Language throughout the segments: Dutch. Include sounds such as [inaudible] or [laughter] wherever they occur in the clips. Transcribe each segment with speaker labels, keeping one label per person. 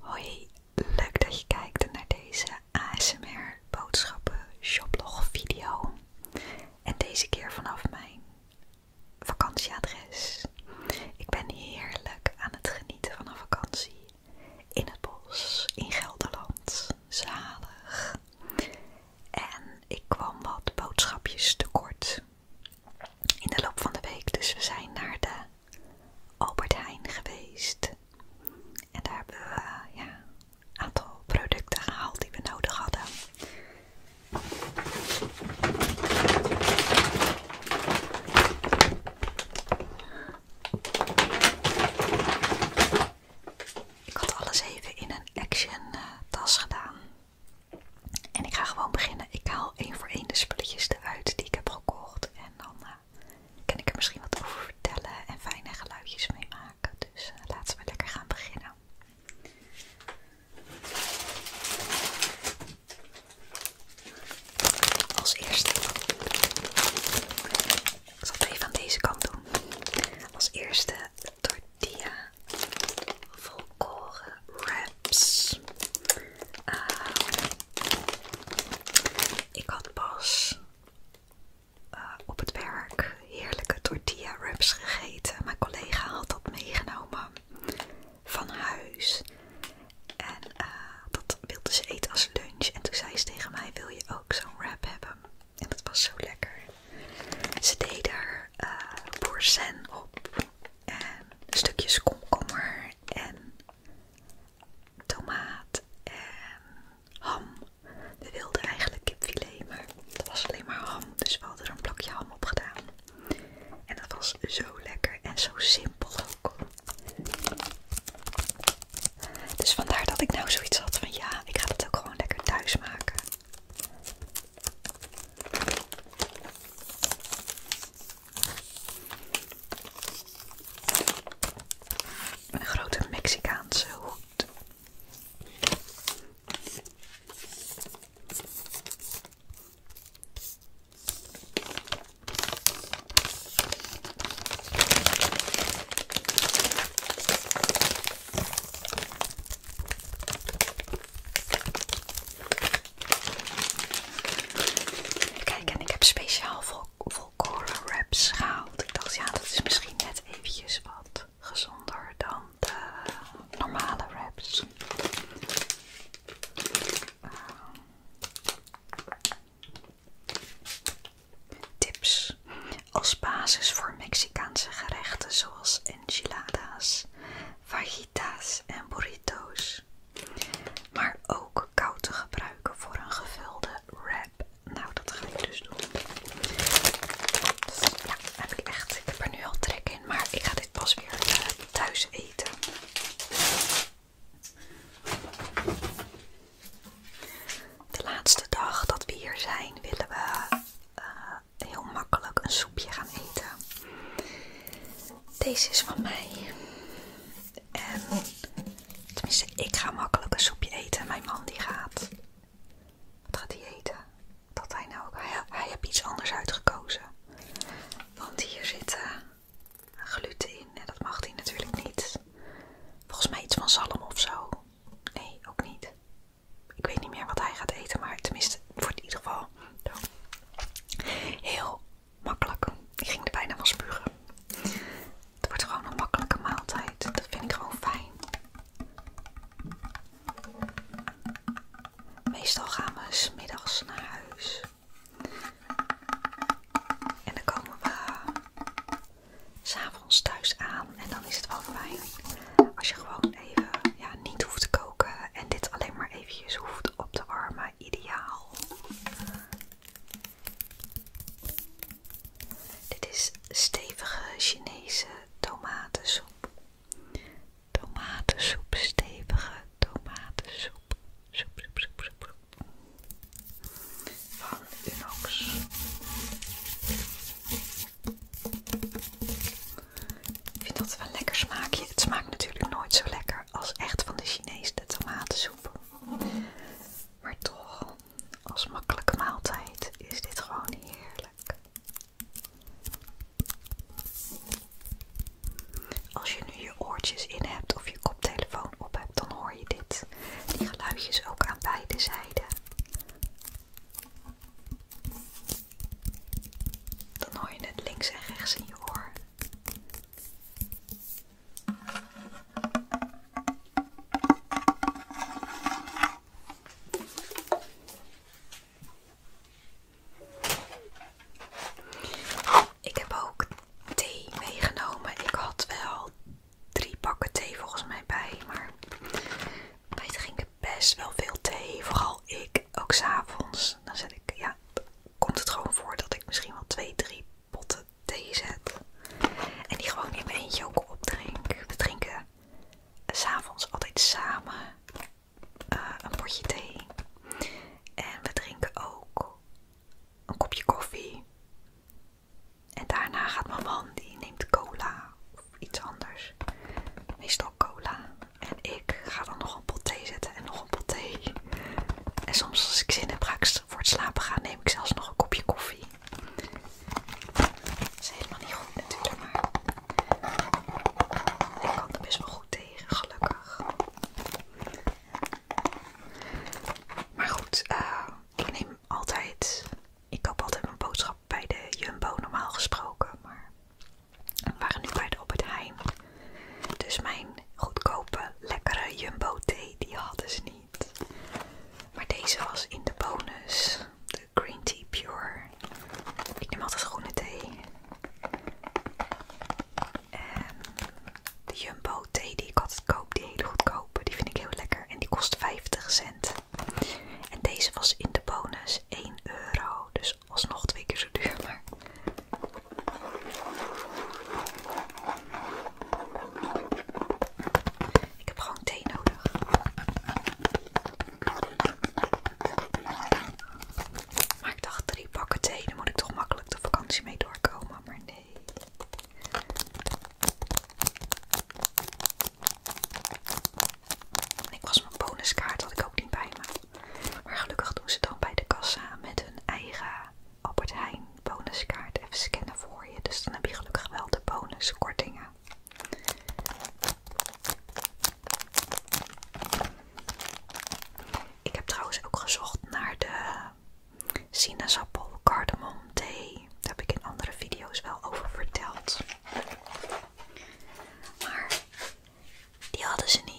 Speaker 1: Hoi, leuk dat je kijkt naar deze ASMR boodschappen shoplog video. En deze keer vanaf mijn vakantieadres. Ik ben heerlijk aan het genieten van een vakantie in het bos in Gelderland. Zalig. En ik kwam wat boodschapjes tekort in de loop van de week, dus we zijn naar de Albert Heijn geweest. En daar hebben we eh, ja, een aantal producten gehaald die we nodig hadden. Ik had alles even in een Action eh, tas gedaan. En ik ga gewoon beginnen. Ik haal één voor één de spulletjes eruit die ik heb gekocht. En dan kan ik er misschien wat over vertellen en fijne geluidjes mee maken. Dus eh, laten we lekker gaan beginnen. Als eerste. Ik zal het even aan deze kant doen. Als eerste tortilla volkoren wrap. Ehm, ik had pas eh, op het werk heerlijke tortilla wraps gegeten. Mijn collega had dat meegenomen van huis. En eh, dat wilde ze eten als lunch. En toen zei ze tegen mij, wil je ook zo'n wrap hebben? En dat was zo lekker. Ze deed er uh, op en stukjes komkommer en tomaat en ham. We wilden eigenlijk kipfilet, maar dat was alleen maar ham. Dus we hadden er een plakje ham op gedaan. En dat was zo lekker en zo simpel ook. Dus vandaar dat ik nou zoiets had van ja, ik ga dat ook gewoon lekker thuis maken. Een grote Mexicaanse hoed. Kijk, en ik heb speciaal vol wraps gehaald. Ik dacht, ja, dat is misschien net eventjes wat gezonder dan de normale wraps. Ehm, tips als basis voor Mexicaanse gerechten zoals enchiladas, fajitas en burritos maar ook koud te gebruiken voor een gevulde wrap. Nou, dat ga ik dus doen. Dus, ja, heb ik echt. Ik heb er nu al trek in, maar ik ga dit pas weer eh, thuis eten. De laatste dag dat we hier zijn, willen we eh, heel makkelijk een soepje gaan eten. Deze is van mij. En tenminste, ik ga makkelijk een soepje eten. Mijn man die gaat. Wat gaat hij eten? Dat hij nou ook. Hij, heeft iets anders uitgekozen. Want hier zitten eh, gluten in. En dat mag hij natuurlijk niet. Volgens mij iets van zalm of zo. Nee, ook niet. Ik weet niet meer wat hij gaat eten. Maar tenminste, voor in ieder geval. Heel makkelijk. ging er bijna van spugen. Het wordt gewoon een makkelijke maaltijd. Dat vind ik gewoon fijn. Meestal gaan we smiddags naar huis. En dan komen we s'avonds thuis aan. En dan is het wel fijn als je gewoon even ja, niet hoeft te koken. En dit alleen maar eventjes hoeft op te warmen ideaal. Dit is stevige Chinese tomatensoep. Tomatensoep, stevige tomatensoep. soep, soep, soep, Van Unox. Ik vind dat wel een lekker smaakje. Het smaakt natuurlijk nooit zo lekker als echt van de Chinese tomatensoep. Maar toch, als makkelijke maaltijd is dit gewoon heerlijk. Als je nu je oortjes in hebt of je koptelefoon op hebt, dan hoor je dit. Die geluidjes ook aan beide zijden. Dan hoor je het links en rechts in je oor. Ik heb ook thee meegenomen. Ik had wel drie pakken thee volgens mij bij, maar wij drinken best wel veel thee. Vooral ik, ook s'avonds. Dus dan zet ik, ja, komt het gewoon voor dat ik misschien wel twee, drie potten thee zet. En die gewoon in mijn eentje ook opdrink. We drinken s'avonds altijd samen eh, een potje thee. En we drinken ook een kopje koffie. En daarna gaat mijn man, die neemt cola of iets anders. Meestal cola. En ik ga dan nog een pot thee zetten en nog een pot thee. En soms als ik zin heb ga ik voor het slapen gaan neem ik zelfs nog een kopje koffie. Dat is helemaal niet goed natuurlijk, maar ik kan er best wel goed tegen, gelukkig. Maar goed, eh, ik neem altijd, ik koop altijd mijn boodschap bij de Jumbo normaal gesproken, maar we waren nu bij de het Heijn. Dus mijn goedkope, lekkere jumbo thee, die hadden ze niet. Maar deze was in de bonus. De Green Tea Pure. Ik neem altijd groene thee. En ehm, de Jumbo thee die ik altijd koop, die hele goedkope, die vind ik heel lekker. En die kost 50 cent. En deze was in de bonus 1 euro. Dus alsnog twee keer zo duur. Maar ik heb gewoon thee nodig. Maar ik dacht drie pakken thee, dan moet ik toch makkelijk de vakantie mee doorkomen, maar nee. Ik was mijn bonuskaart had ik ook niet bij me. Maar gelukkig doen ze dan bij de kassa met hun eigen Albert Heijn bonuskaart even scannen voor je. Dus dan heb je gelukkig wel de bonuskortingen. Ik heb trouwens ook gezocht naar de sinaasappel cardamom thee. Daar heb ik in andere video's wel over verteld. Maar die hadden ze niet.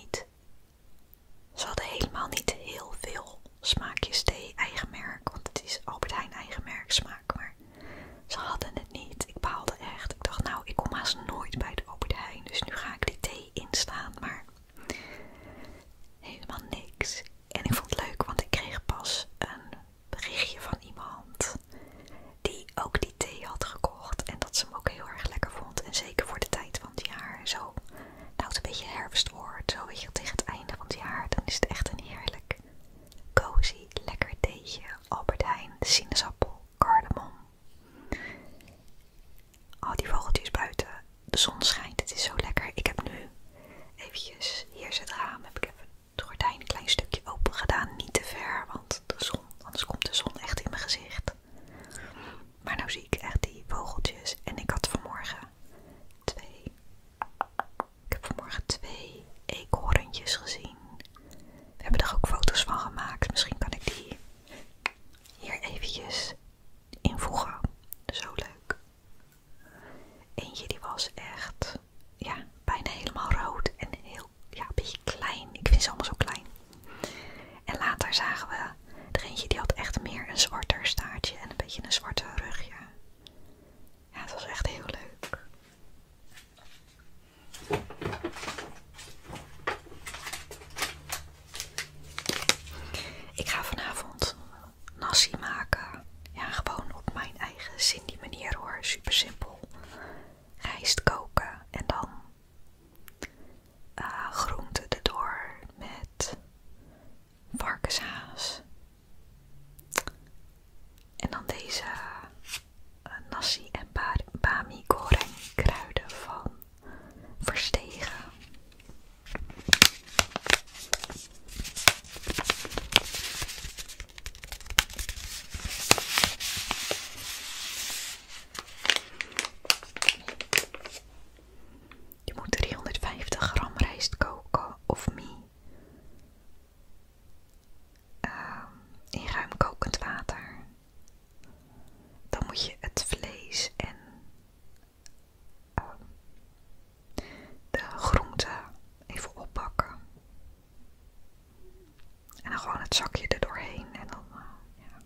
Speaker 1: Ze hadden helemaal niet heel veel smaakjes thee eigen merk, want het is Albert Heijn eigen merk smaak, maar ze hadden het niet. Ik baalde echt. Ik dacht nou, ik kom haast nooit bij de Albert Heijn, dus nu ga ik die thee instaan, maar helemaal niks. En ik vond het leuk, want ik kreeg pas een berichtje van iemand die ook die thee had gekocht en dat ze hem ook heel erg lekker vond en zeker voor de tijd van het jaar en zo nou het een beetje herfst zo weet je, tegen het einde van het jaar, dan is het echt een heerlijk cozy, lekker theetje, Albertijn, sinaasappel, cardamom. Al oh, die vogeltjes buiten, de zon schijnt, het is zo lekker. Ik heb nu eventjes, hier zit het raam, heb ik even het gordijn een klein stukje open gedaan, niet te ver, want de zon, anders komt de zon echt in mijn gezicht. Maar nu zie ik echt die vogeltjes. En ik had vanmorgen twee. Ik heb vanmorgen twee eekhoorntjes gezien. We hebben er ook foto's van gemaakt. Misschien kan ik die hier eventjes invoegen. Zo leuk. Eentje die was echt ja, bijna helemaal rood en heel ja, een beetje klein. Ik vind ze allemaal zo klein. En later zagen we de eentje die had echt meer een zwarter staartje en een beetje een zwarte rugje. Ja, het was echt heel leuk. Ik ga vanavond nasi maken. Ja, gewoon op mijn eigen Cindy manier hoor. Super simpel. Rijst koken en dan uh, eh, groenten erdoor met varkenshaas. En dan deze eh, nasi en bami goreng kruiden van Verstegen. Je moet 350 gram rijst koken of mie. Ehm, in ruim kokend water. Dan moet je het vlees en ehm, de groenten even oppakken. En dan gewoon het zakje er doorheen en dan, eh,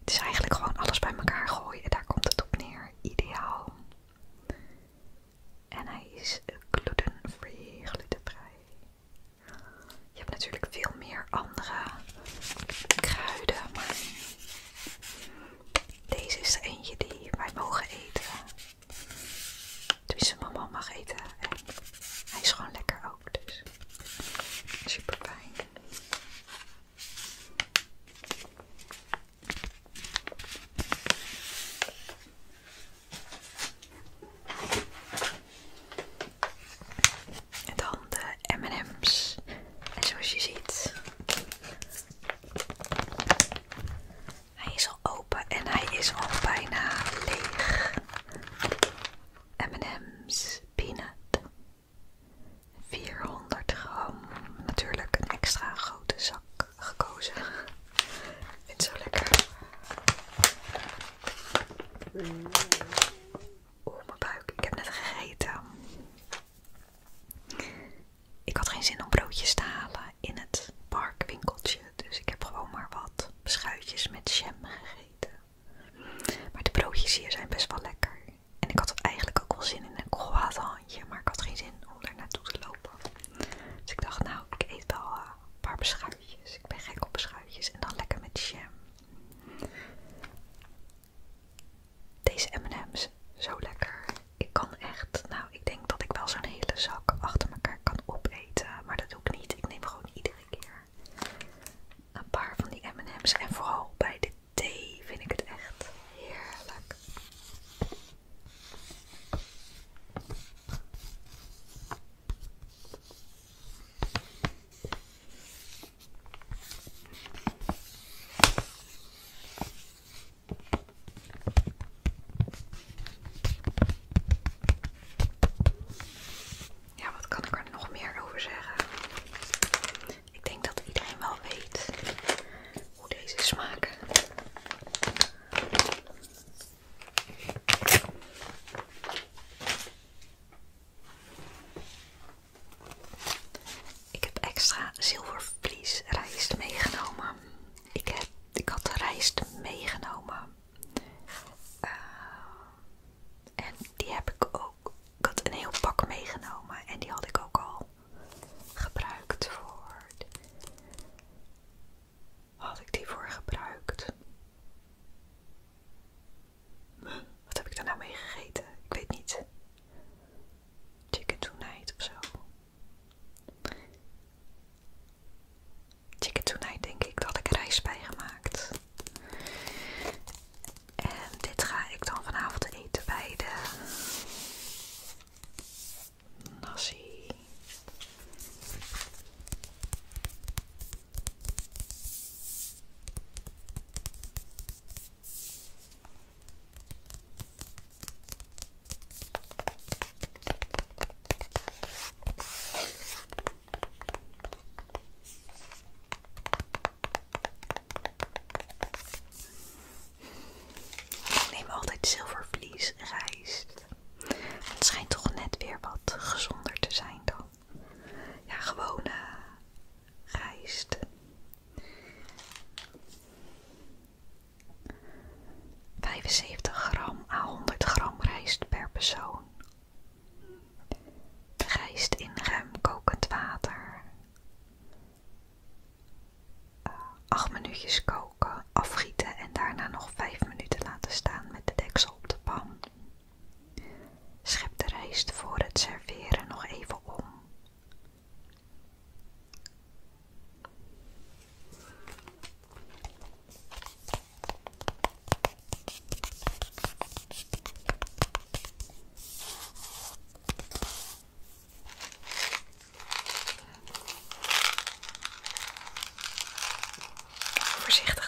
Speaker 1: het is eigenlijk gewoon alles bij elkaar gooien. en Daar komt het op neer. Ideaal. En hij is glutenvrij, glutenvrij. Je hebt natuurlijk veel meer andere kruiden, maar deze is er eentje die wij mogen eten. Tenminste, mama mag eten en hij is gewoon lekker ook, dus super fijn. En dan de M&M's. zoals je ziet, hij is al open en hij is al bijna leeg. M&M's peanut 400 gram. Natuurlijk een extra grote zak gekozen. Ik vind het zo lekker. Oeh, mijn buik. Ik heb net gegeten. Ik had geen zin om broodjes te halen in het parkwinkeltje. Dus ik heb gewoon maar wat beschuitjes met jam gegeten. Maar de broodjes hier zijn best wel lekker. En ik had eigenlijk ook wel zin in een croissantje, maar ik had geen zin om daar naartoe te lopen. Dus ik dacht, nou, ik eet wel eh, een paar beschuitjes. Ik ben gek op beschuitjes en dan lekker met jam. Deze M&M's, zo lekker. Ik kan echt, nou, ik denk dat ik wel zo'n hele zak achter elkaar kan opeten, maar dat doe ik niet. Ik neem gewoon iedere keer een van die M&M's en vooral bij de thee vind ik het echt heerlijk. Ja, wat kan ik er nog meer over zeggen? Ik denk dat iedereen wel weet hoe deze smaken. Ik heb extra zilvervlies meegenomen. Ik, heb, ik had rijst meegenomen. Eh, en die heb ik ook. Ik had een heel pak meegenomen en die had ik ook al gebruikt voor. Had ik die voor gebruikt? Wat heb ik daar nou mee gegeten? Ik weet niet. Chicken tonight of zo. Chicken tonight denk ik dat ik rijst bij gemaakt. En dit ga ik dan vanavond eten bij de nasi. Ik neem altijd zilvervlies rijst. Het schijnt toch net weer wat gezonder te zijn dan. Ja, gewone rijst. 75 gram à 100 gram rijst per persoon. Rijst in ruim kokend water. 8 eh, minuutjes koken, afgieten en daarna nog 5 minuten laten staan met de deksel op de pan. Schep de rijst voor het serveren nog even om. Voorzichtig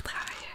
Speaker 1: draaien.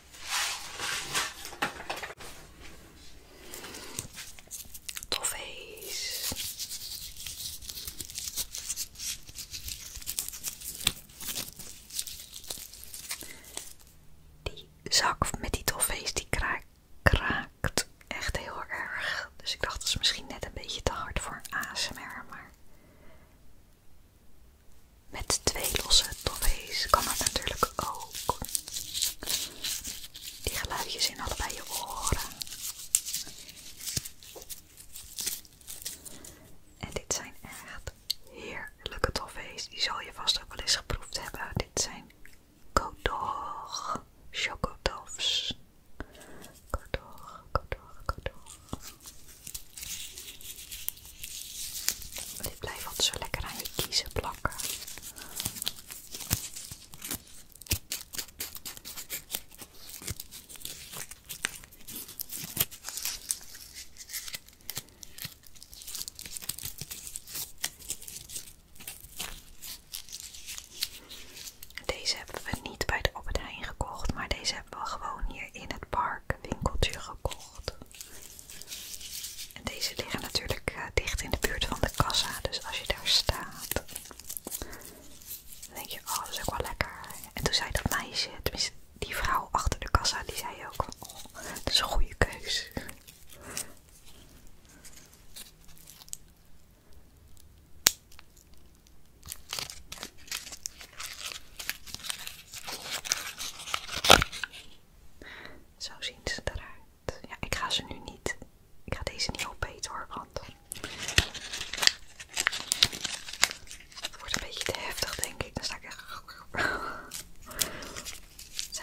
Speaker 1: Toffees. Die zak met die toffees die kraakt, echt heel erg. Dus ik dacht dat is misschien net een beetje te hard voor een ASMR, maar met twee losse toffees kan het natuurlijk ook. Die geluidjes in allebei je oren. En dit zijn echt heerlijke toffees. Die zal je vast ook wel eens geproefd hebben. Dit zijn Kodor chocotofs. Kodor, Kodor, Kodor. Dit blijft altijd zo lekker aan je kiezen plakken. Deze hebben we niet bij de Albert gekocht, maar deze hebben we gewoon hier in het park winkeltje gekocht. En deze liggen natuurlijk eh, dicht in de buurt van de kassa, dus als je daar staat, dan denk je, oh dat is ook wel lekker. En toen zei dat meisje, die vrouw achter de kassa, die zei ook, oh dat is een goede keus. Zo zien ze eruit. Ja, ik ga ze nu niet. Ik ga deze niet opeten hoor, want het wordt een beetje te heftig, denk ik. Dan sta ik echt. [laughs] Zo.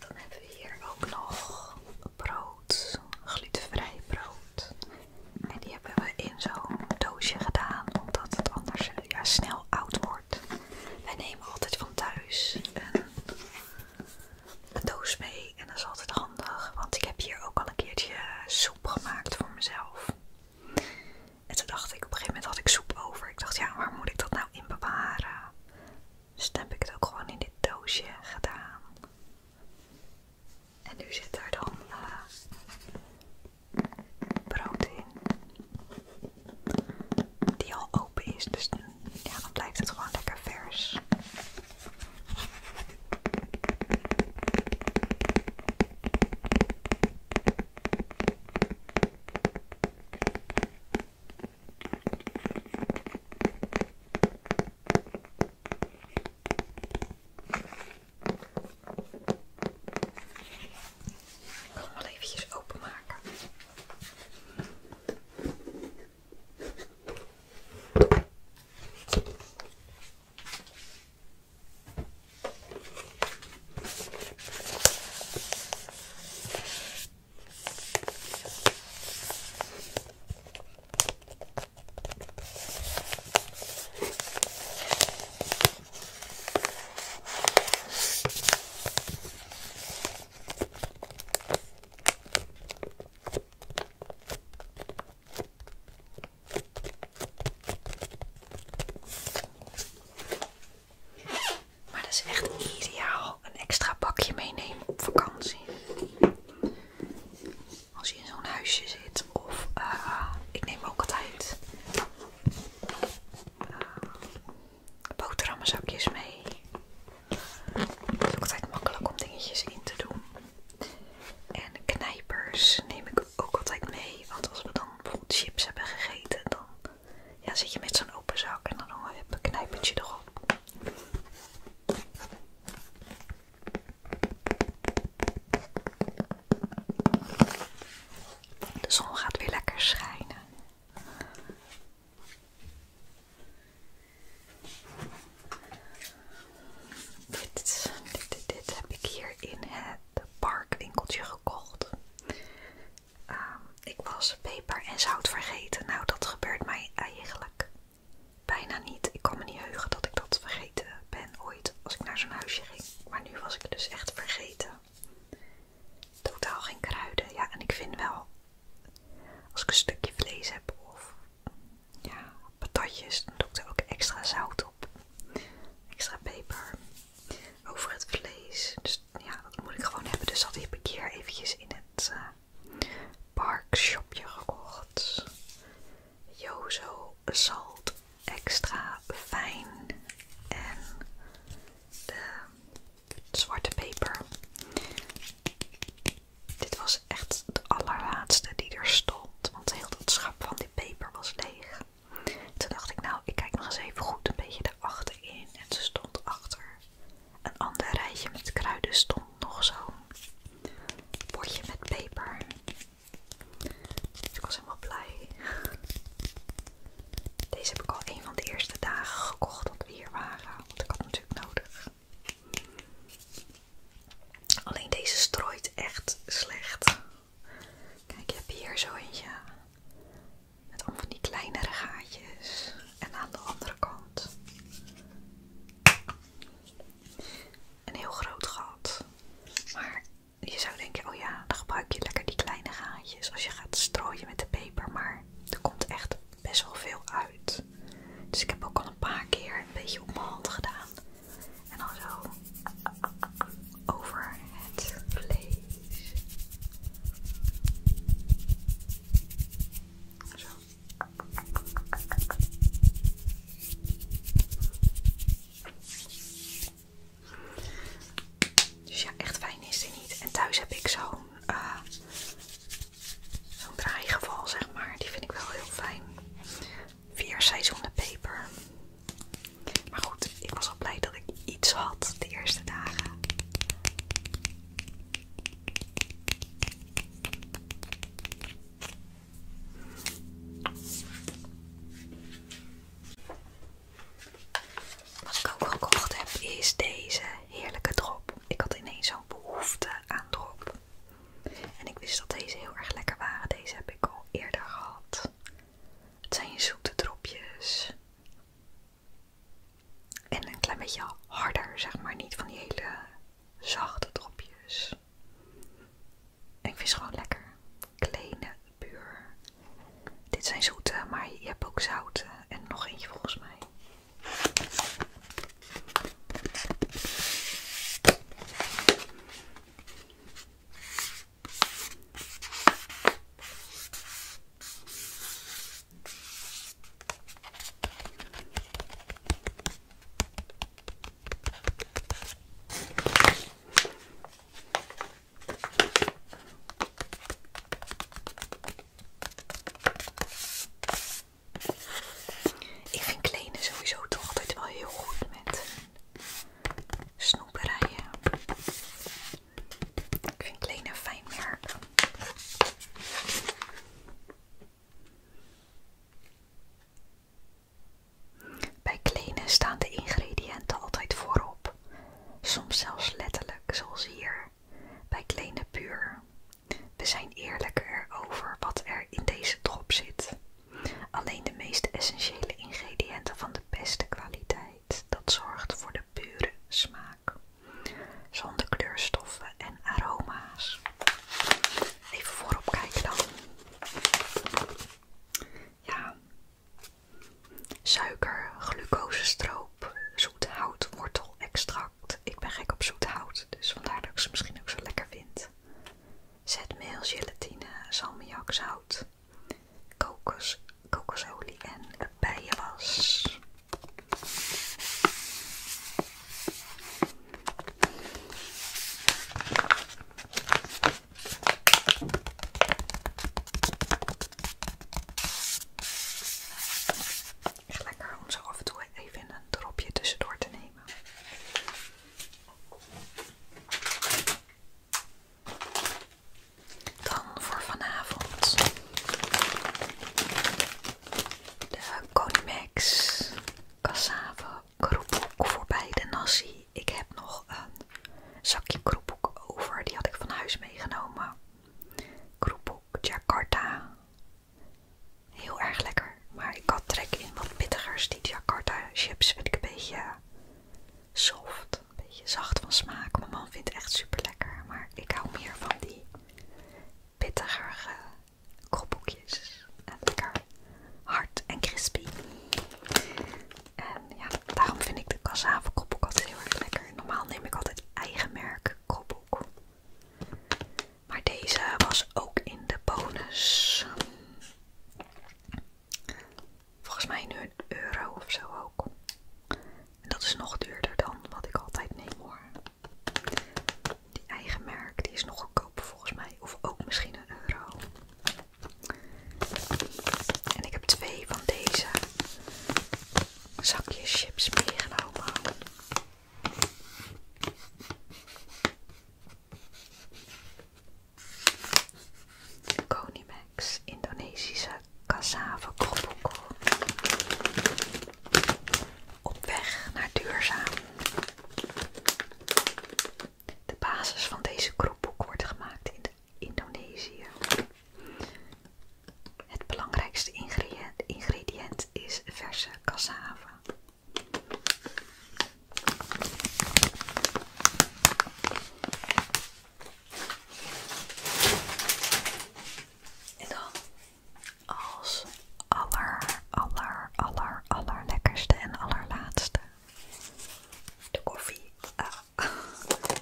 Speaker 1: Dan hebben we hier ook nog brood, glutenvrij brood. En die hebben we in zo'n doosje gedaan, omdat het anders ja, snel oud wordt. Wij nemen altijd van thuis een, doos mee en dat is altijd handig, want ik heb hier ook al een keertje soep gemaakt voor mezelf. En toen dacht ik, op een gegeven moment had ik soep over. Ik dacht, ja, waar moet ik dat nou in bewaren? Dus dan heb ik het ook gewoon in dit doosje gedaan. En nu zit daar dan uh, brood in. Die al open is, dus ja, dan blijft het gewoon lekker vers. Ik maar even eventjes openmaken. Maar dat is echt ideaal. Een extra pakje meenemen op vakantie als je in zo'n huisje zit. Of eh, ik neem ook altijd uh, boterhammenzakjes mee. Het is ook altijd makkelijk om dingetjes in te doen. En knijpers neem ik ook altijd mee. Want als we dan bijvoorbeeld chips hebben gegeten, dan ja, zit je met zo'n open zak en dan heb je een knijpertje erop. De zon gaat weer lekker schijnen. Dit, dit, dit, heb ik hier in het parkwinkeltje gekocht. Ehm, ik was peper en zout vergeten. Nou, dat gebeurt mij eigenlijk bijna niet. Ik kan me niet heugen dat ik dat vergeten ben ooit als ik naar zo'n huisje ging. Maar nu was ik dus echt vergeten. Totaal geen kruiden. Ja, en ik vind wel, als ik een stukje vlees heb of ja, patatjes, dan doe ik er ook extra zout op. Extra peper over het vlees. Dus ja, dat moet ik gewoon hebben. Dus dat heb ik keer eventjes in het eh, parkshopje gekocht. Jozo zout extra fijn en zwarte peper. Dit was echt de allerlaatste die er stond, want heel dat schap van die peper was leeg. Toen dacht ik, nou, ik kijk nog eens even goed een beetje erachter in. En ze stond achter. Een ander rijtje met kruiden stond nog zo'n potje met peper. Dus ik was helemaal blij. Deze heb ik al een van de eerste dagen gekocht dat we hier waren. Want ik had hem natuurlijk nodig. Alleen deze strooit echt slecht. Kijk, je hebt hier zo eentje. Met al van die kleinere gaatjes. En aan de andere kant een heel groot gat. Maar je zou denken, oh ja, dan gebruik je lekker die kleine gaatjes als je gaat strooien met de peper. Maar er komt echt best wel veel uit. Dus ik heb ook al een paar keer een beetje op mijn hand gedaan. En dan zo over het vlees. Zo. Dus ja, echt fijn is die niet. En thuis heb ik eh, zo'n draaigeval, zeg maar. Die vind ik wel heel fijn. Vier seizoenen peper. Maar goed, ik was al blij dat ik iets had de eerste dagen. Wat ik ook gekocht heb is deze heerlijke drop. Ik had ineens zo'n behoefte aan drop. En ik wist dat deze heel erg lekker waren. Deze heb ik al eerder gehad. Het zijn zoete dropjes. En een klein beetje harder, zeg maar. Niet van die hele zachte dropjes ik vind gewoon lekker. Kleine buur. Dit zijn zoete, maar je hebt ook zoute. En nog eentje volgens mij. Ik vind Kleine sowieso toch altijd wel heel goed met snoeperijen. Ik vind kleden een fijn merk. Bij klenen staan de ingrediënten altijd voorop, soms zelfs letterlijk, zoals hier, bij klenen puur. We zijn eerlijker over wat er in deze drop zit. Alleen de meest essentiële ingrediënten van de beste kwaliteit, dat zorgt voor de pure smaak, zonder kleurstoffen en aroma's. Even voorop kijken dan. Ja. Suiker, glucosestroop, zoet wortel extract. Ik ben gek op zoethout dus vandaar dat ik ze misschien ook zo lekker vind. Zetmeel, gelatine, salmiak, zout, kokos, kokosolie en bijenwas lekker om zo af en toe even een dropje tussendoor te nemen. Dan voor vanavond de Conimax cassave kroephoek voorbij de nasi. Ik heb nog een zakje kroephoek over. Die had ik van huis meegenomen. Kroephoek Jakarta. Heel erg lekker. Maar ik had trek in wat pittigers. Die Jakarta chips vind ik een beetje soft. Een beetje zacht van smaak. Mijn man vindt het echt super lekker. Maar ik hou meer van die pittigere kropboekjes. En lekker hard en crispy. En ja, daarom vind ik de cassave kropboek altijd heel erg lekker. Normaal neem ik altijd eigen merk kropboek. Maar deze was ook in de bonus. Volgens mij nu een euro of zo ook. En dat is nog duurder dan wat ik altijd neem hoor. Die eigen merk, die is nog goedkoper volgens mij. Of ook misschien een euro. En ik heb twee van deze zakjes chips meegenomen. Konimex Indonesische cassave krokkel. Op weg naar duurzaam. De basis van deze kroepboek wordt gemaakt in Indonesië. Het belangrijkste ingrediënt, is verse cassave. En dan als aller, aller, aller, allerlekkerste en allerlaatste de koffie. Ah.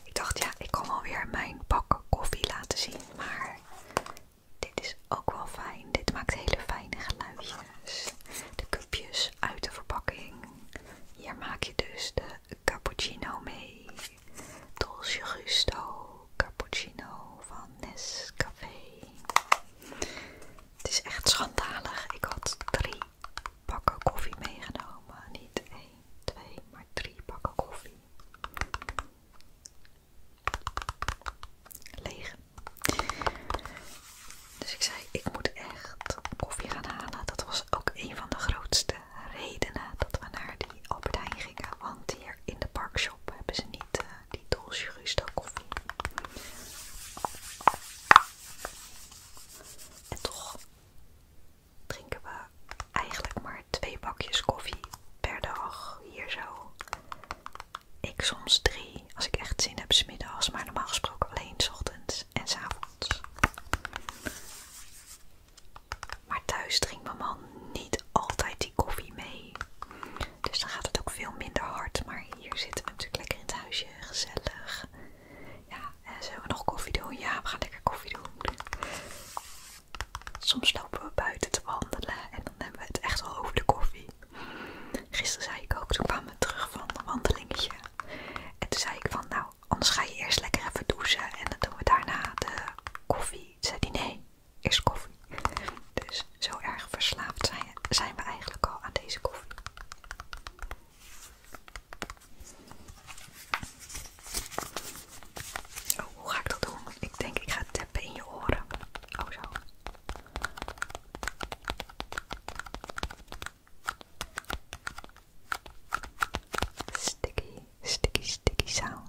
Speaker 1: ik dacht, ja, ik kan wel weer mijn pak koffie laten zien. Maar dit is ook wel fijn. Dit maakt hele fijne geluidjes. De cupjes uit de verpakking. Hier maak je dus de cappuccino mee. Dolce Gusto cappuccino van Nescafe. Het is echt schandalig. Ik had drie pakken koffie meegenomen. Niet één, twee, maar drie pakken koffie. Leeg. Dus ik zei, ik moet echt koffie gaan halen. Dat was ook een van de grootste redenen dat we naar die Albert Want hier in de parkshop hebben ze niet eh, die Dolce Gusto koffie. En toch drinken we eigenlijk maar twee bakjes koffie per dag hier zo. Ik soms drie als ik echt zin heb smiddags, maar normaal gesproken alleen s ochtends en s avonds. Maar thuis drinkt mijn man niet altijd die koffie mee. Dus dan gaat het ook veel minder hard. Maar hier zitten we natuurlijk lekker in het huisje, gezellig. Ja, en zullen we nog koffie doen? Ja, we gaan lekker koffie doen. Soms lopen we buiten te wandelen en dan hebben we het echt al over de koffie. Gisteren zei ik ook, toen kwamen we terug van een wandelingetje. En toen zei ik van, nou, anders ga je eerst lekker even douchen en dan doen we daarna de koffie. Toen zei nee, eerst koffie. Dus zo erg verslaafd zijn, zijn we eigenlijk al aan deze koffie. Oh, hoe ga ik dat doen? Ik denk ik ga teppen in je oren. Oh zo. Sticky, sticky, sticky sound.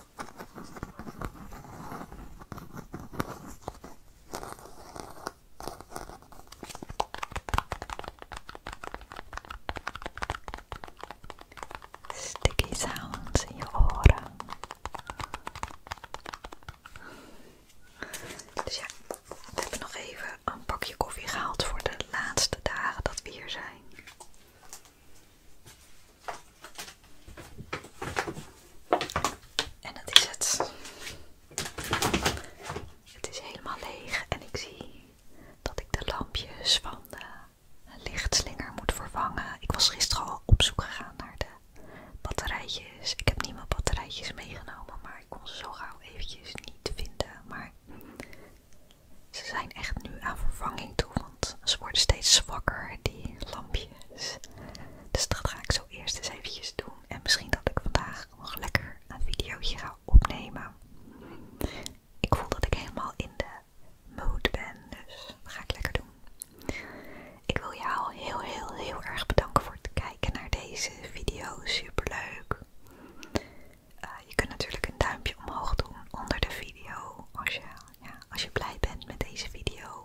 Speaker 1: Sticky sounds in je oren. Dus ja, we hebben nog even een pakje koffie gehaald voor de laatste dagen dat we hier zijn. En dat is het. Het is helemaal leeg en ik zie dat ik de lampjes van de lichtslinger moet vervangen. Ik was gisteren al op zoek gegaan naar de batterijtjes. Ik heb niet mijn batterijtjes meegenomen, maar ik kon ze zo gauw eventjes niet vinden. Maar ze zijn echt nu aan vervanging toe, want ze worden steeds zwakker, die lampjes. Dus dat ga ik zo eerst eens eventjes doen. En misschien dat ik vandaag nog lekker een videootje ga opnemen. Ik voel dat ik helemaal in de mood ben, dus dat ga ik lekker doen. Ik wil jou heel heel heel erg bedanken voor het kijken naar deze video. Superleuk. leuk! Eh, je kunt natuurlijk een duimpje omhoog doen onder de video als als je blij bent met deze video.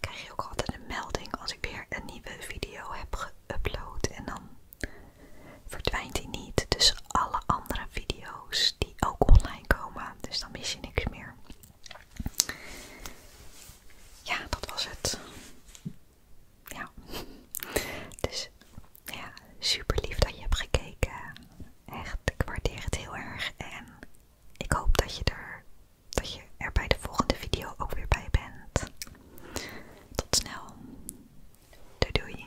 Speaker 1: krijg je ook altijd een melding als ik weer een nieuwe video heb geüpload. En dan verdwijnt die niet dus alle andere video's die ook online komen. Dus dan mis je niks meer. Ja, dat was het. Ja. Dus ja, super lief dat je hebt gekeken. Echt, ik waardeer het heel erg. En ik hoop dat je er dat je er bij de volgende video ook weer bij bent. Tot snel. Doei